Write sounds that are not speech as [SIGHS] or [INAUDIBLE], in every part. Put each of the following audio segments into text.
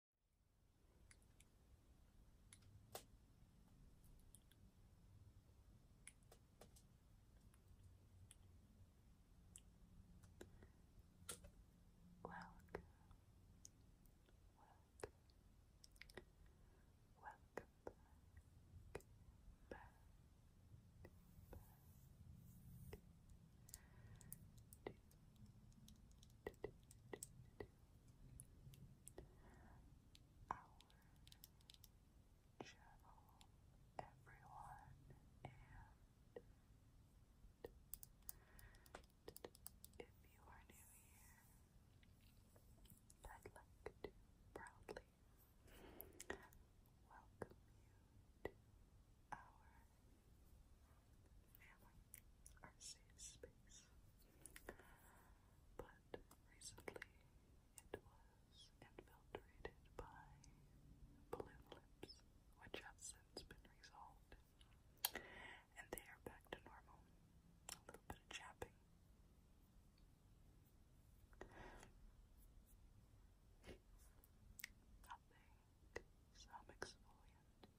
Welcome, welcome, welcome back, back, back to, to, to, to, to, our channel, everyone, and if you are new here, I'd like to proudly welcome you to our family, our space. But recently it was infiltrated by balloon lips, which have since been resolved. And they are back to normal. A little bit of chapping. Nothing. Some exfoliant.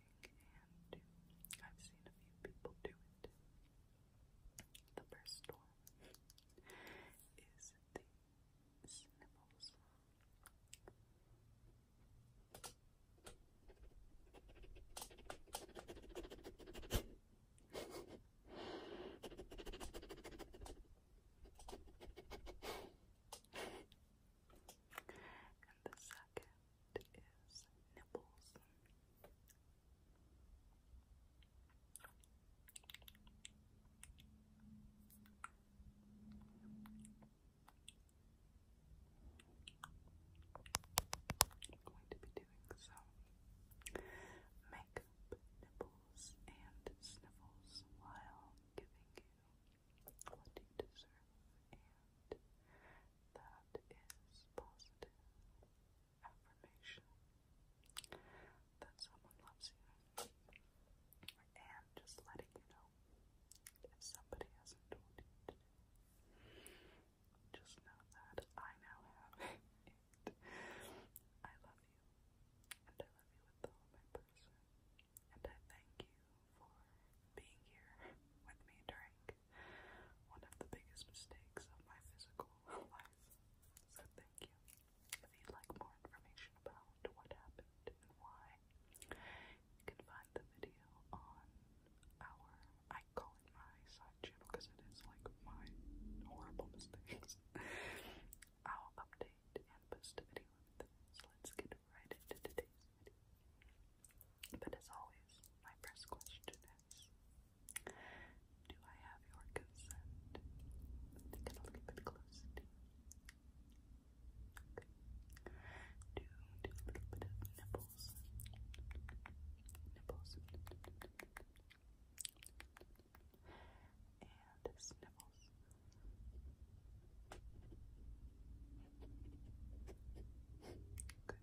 romantic, and I've seen a few people do it. The first one is the sniffles. and the second is nipples. going to be doing some makeup nipples and sniffles while giving you what you deserve, and that is positive affirmation that someone loves you, and just letting you know if somebody hasn't told you Just know that I now have [LAUGHS] it. I love you, and I love you with all my person, and I thank you for being here with me during one of the biggest mistakes of my physical [LAUGHS] life. So thank you. If you'd like more information about what happened and why, you can find the video on our, I call it my side channel because it is like my horrible [LAUGHS] mistakes. I'll update and post a video of this. Let's get right But as always, my first question is Do I have your consent to get a little bit close you? Do do a little bit of nipples. Nipples. And sniffles. Good.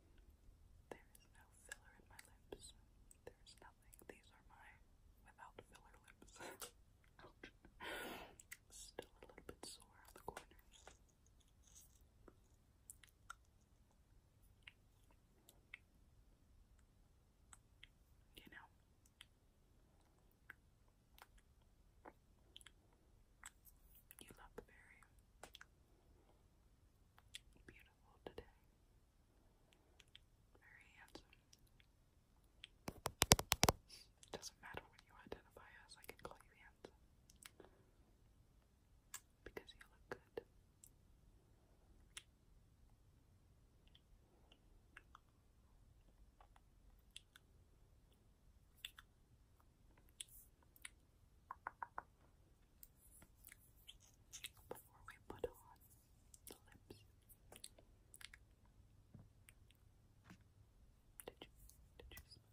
There is no filler in my lips. There is nothing. These are my without filler lips. [LAUGHS] Still a little bit sore on the corners. You know. You look very beautiful today. Very handsome. It doesn't matter what you identify as, I can call you handsome. Because you look good before we put on the lips. Did you, did you smell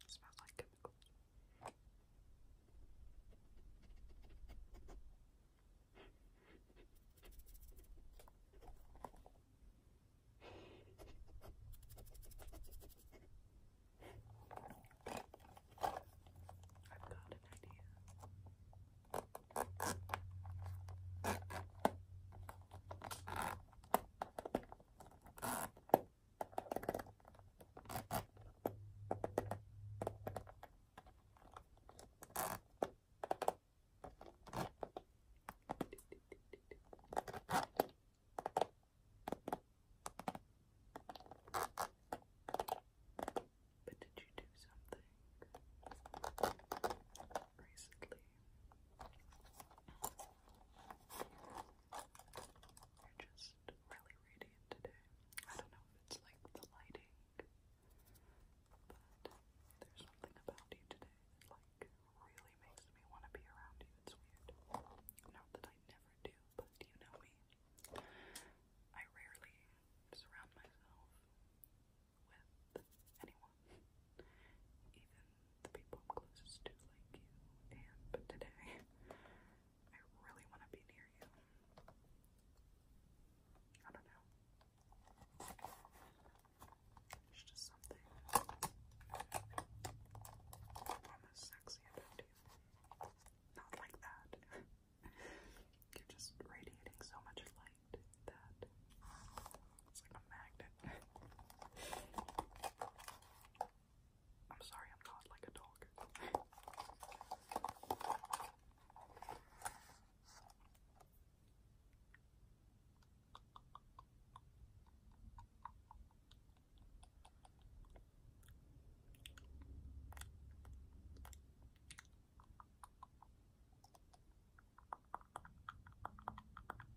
It smells like I've got an idea. But did you do something recently you're just really radiant today. I don't know if it's like the lighting, but there's something about you today that like really makes me want to be around you. It's weird. Not that I never do, but you know me. I rarely surround myself with anyone, even the people closest to, like you. And but today, [LAUGHS] I really want to be near you. I don't know. There's just something almost sexy about you. Not like that. [LAUGHS] You're just radiating so much light that it's like a magnet. I'm sorry, I'm not like a dog. Before we get to the makeup, I thought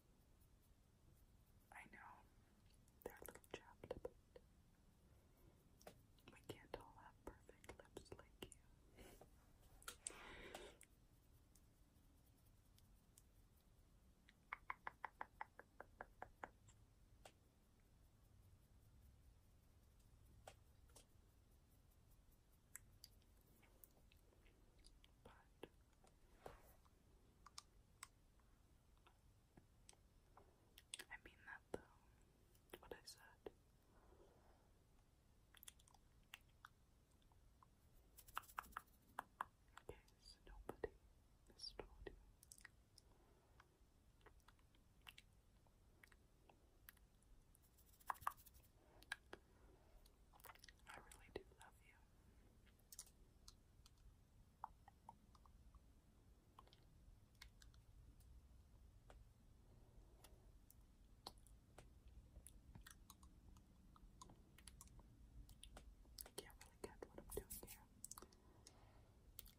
I know they little chapped, we can't all have perfect lips like you. But I mean that though. what I said. Okay, so nobody has told you. I really do love you. I can't really get what I'm doing here.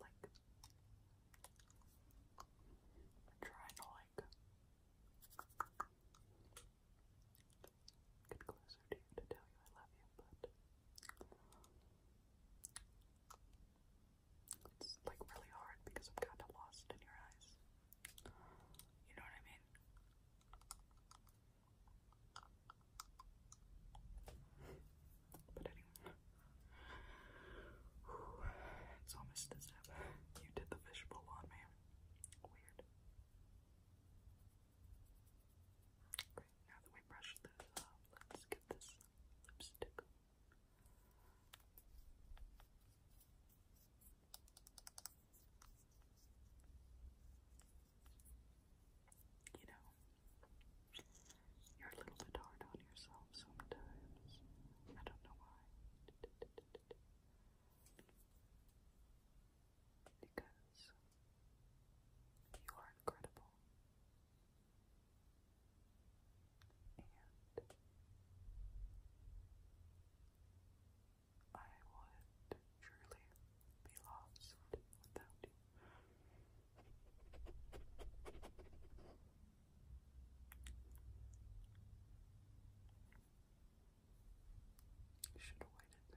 Like, I'm trying to, like, Get closer to you to tell you I love you, but it's like really hard because I'm kind of lost in your eyes. You know what I mean? But anyway, it's almost as if you did the fishbowl on me. Weird. Great, now that we brushed this off, let's get this lipstick You know, you're a little bit hard on yourself sometimes. I don't know why because you are incredible. And I would truly be lost without you. should have waited.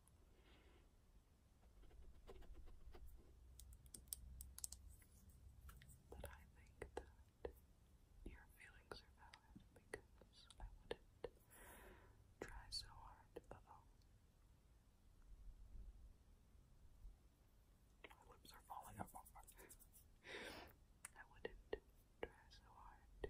But I think that your feelings are valid because I wouldn't try so hard. My lips are falling off. I wouldn't try so hard to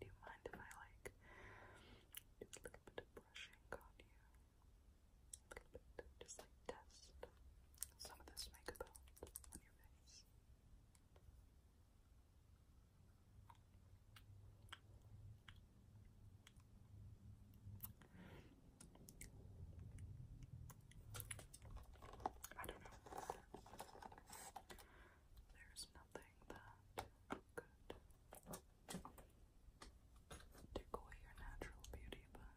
Do you mind if I like do a little bit of brushing on you? A little bit, just like test some of this makeup on your face. I don't know there's nothing that could take your natural beauty, but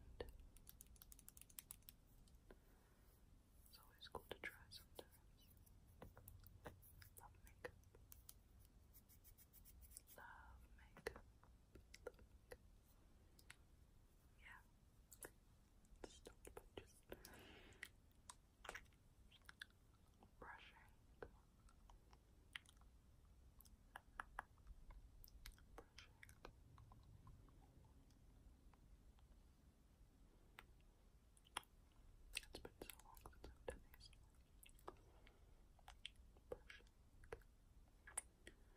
it's always cool to try sometimes. Love makeup. Love makeup. Yeah brushing, brushing. It's been so long since I've done these. Brushing. Any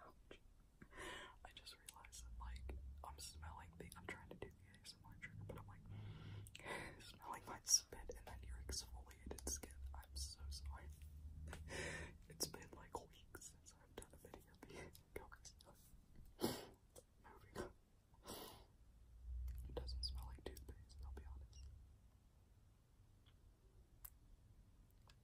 Ouch. I just realized that, like, I'm smelling the. I'm trying to do the ASMR trigger, but I'm like, [LAUGHS] smelling my spit and then your exfoliated skin. I'm so sorry. it's been like weeks since I've done a video being coconut stuff. Moving on. It doesn't smell like toothpaste, I'll be honest.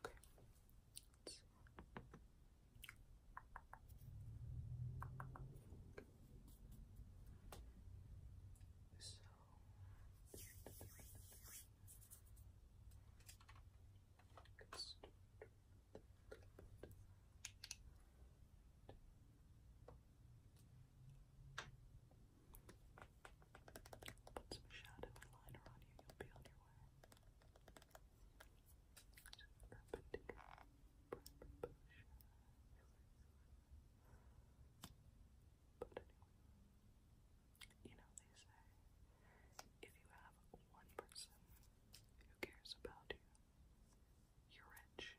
Okay. So Put some shadow and on you, you'll be on your way anyway, you know, they say if you have one person who cares about you, you're rich.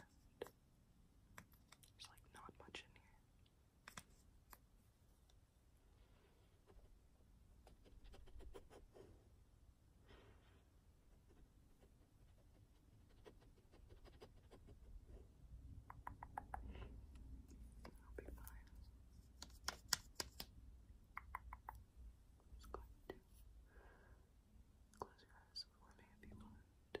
And there's like not much in here. I'll be fine. Just going to close your eyes for me if you want. A little bit of Good.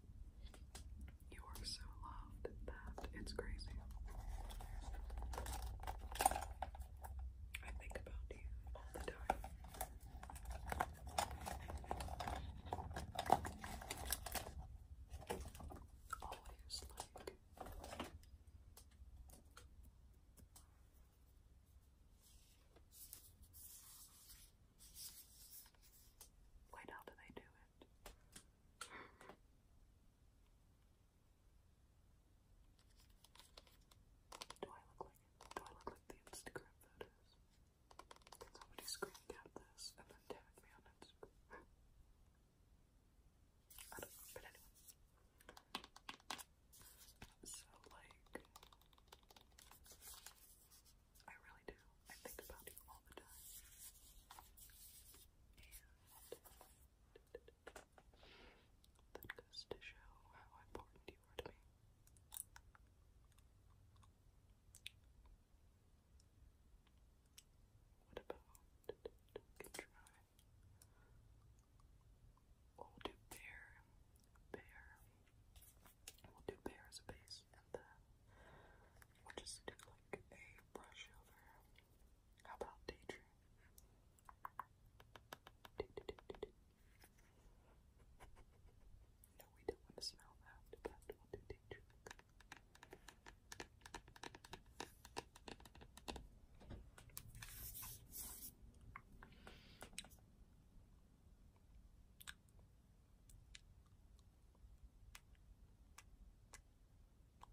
You are so loved that it's crazy. I think about you all the time. Always like. Wait, how do they do it? Do I look like Do I look like the Instagram photos? Can somebody screen this and then tag me on Instagram? [LAUGHS] I don't know, but So, like, I really do I think about you all the time. And that goes to show how important you are to me. What about we we'll do bear, bear. We'll do bear as a base, and then We'll just do like a brush over. How about daydream? No, we don't want to smell that, but we'll do daydream. Okay,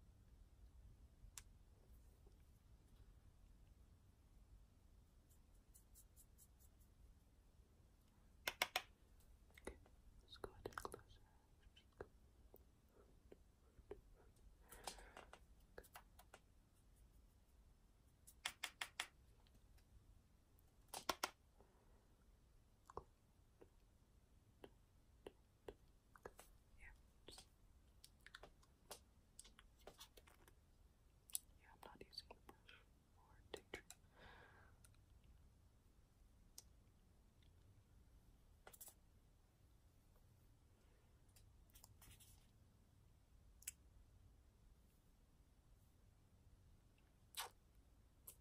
let's go ahead and close yeah. Just... Yeah, I'm not using the brush or tape tree. Okay.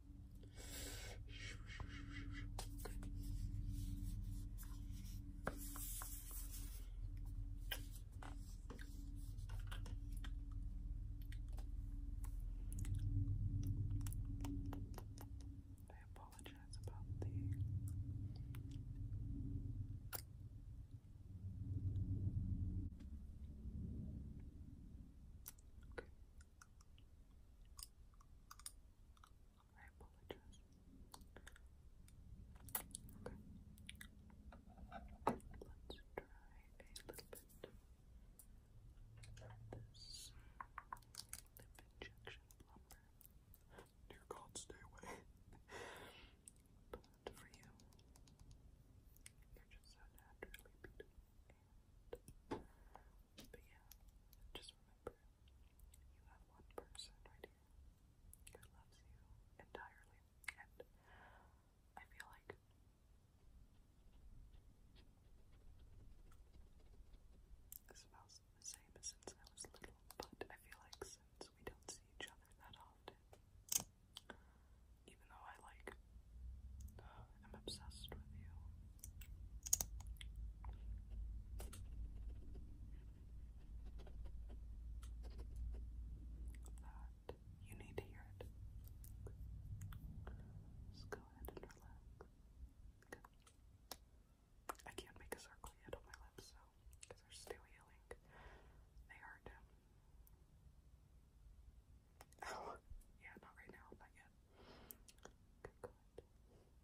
I apologize about the I apologize. Let's try a little bit of this lip injection Dear God, stay away. but for you, you're just so naturally beautiful. but yeah, just remember, you have one person right here who loves you entirely, and I feel like it smells the same as since I was little, but I feel like since we don't see each other that often, even though I like, I'm [SIGHS] obsessed with you, that you need to hear it. Just go ahead and relax. Good. I can't make a circle yet on my lips, so they're still healing, they hurt. Oh, yeah, not right now, not yet. Good, good.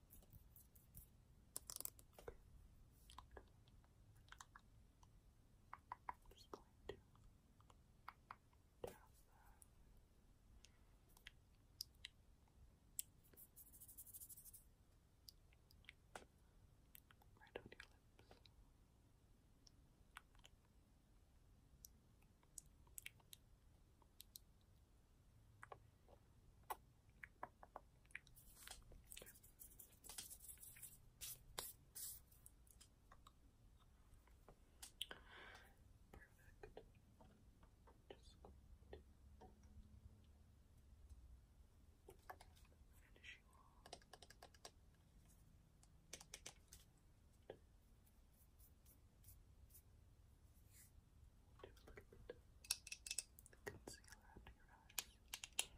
just going to tap that right on your lips. Perfect. Just going to finish you off. Just do a little bit of concealer under your eyes. Good.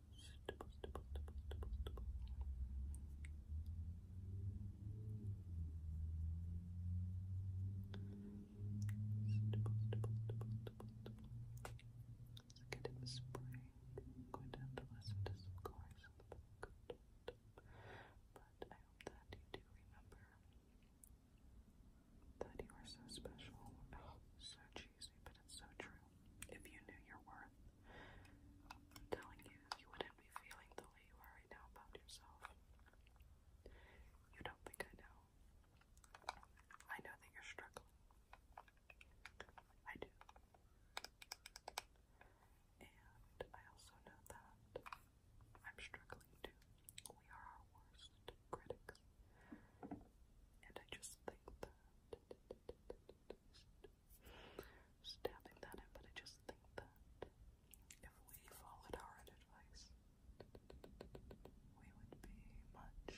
Stipple, stipple, stipple, I'm going to have to listen to some cars But I hope that you do remember that you are so special. so cheesy, but it's so true if you knew your worth. I'm telling you, you wouldn't be feeling the way you are right now about yourself. You don't think I know. I know that you're struggling. I do. And I also know that I'm struggling too. We are our worst critics. And I just think that stabbing that in, but I just think that if we followed our advice, we would be much, much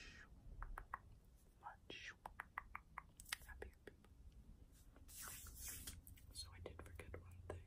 happier So I did forget one thing.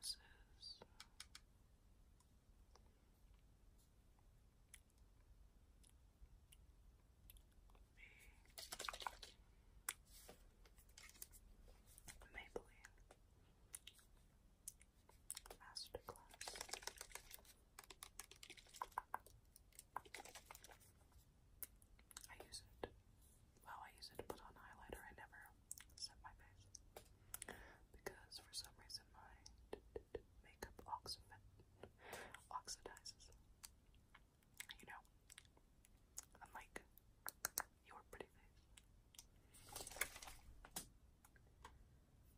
This is the Maybelline Masterclass. I use it. Well, I use it to put on highlighter. I never set my face because for some reason my makeup oxidizes. You know, unlike your pretty face.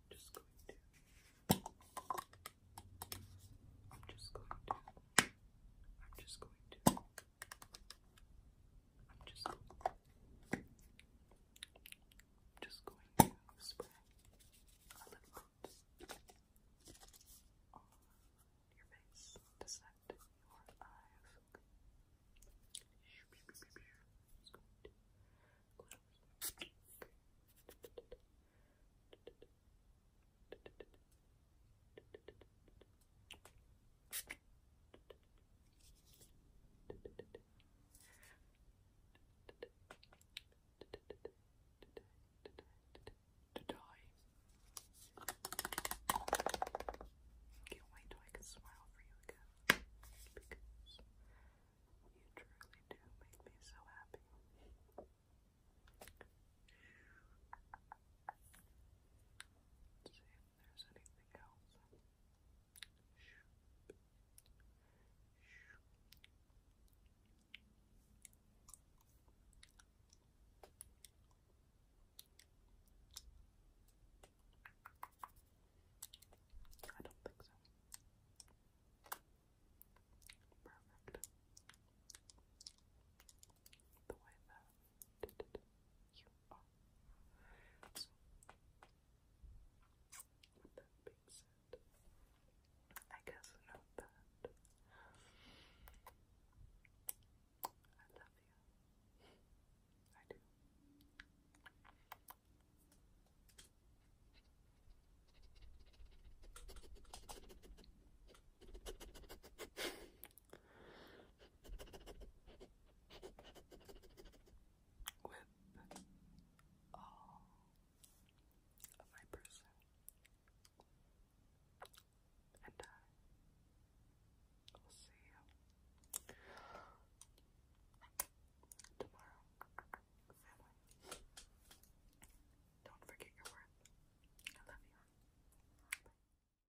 Just going to. I'm just going to. I'm just going to. I'm just just going to spray a little bit on your face to your eyes. It's going to can't wait till I can smile for you again because you truly do make me so happy there's anything else. I don't think so. Perfect the way that you are. that being said, I guess note that I love you. I do with all of my person and I will see you tomorrow family don't forget your worth I love you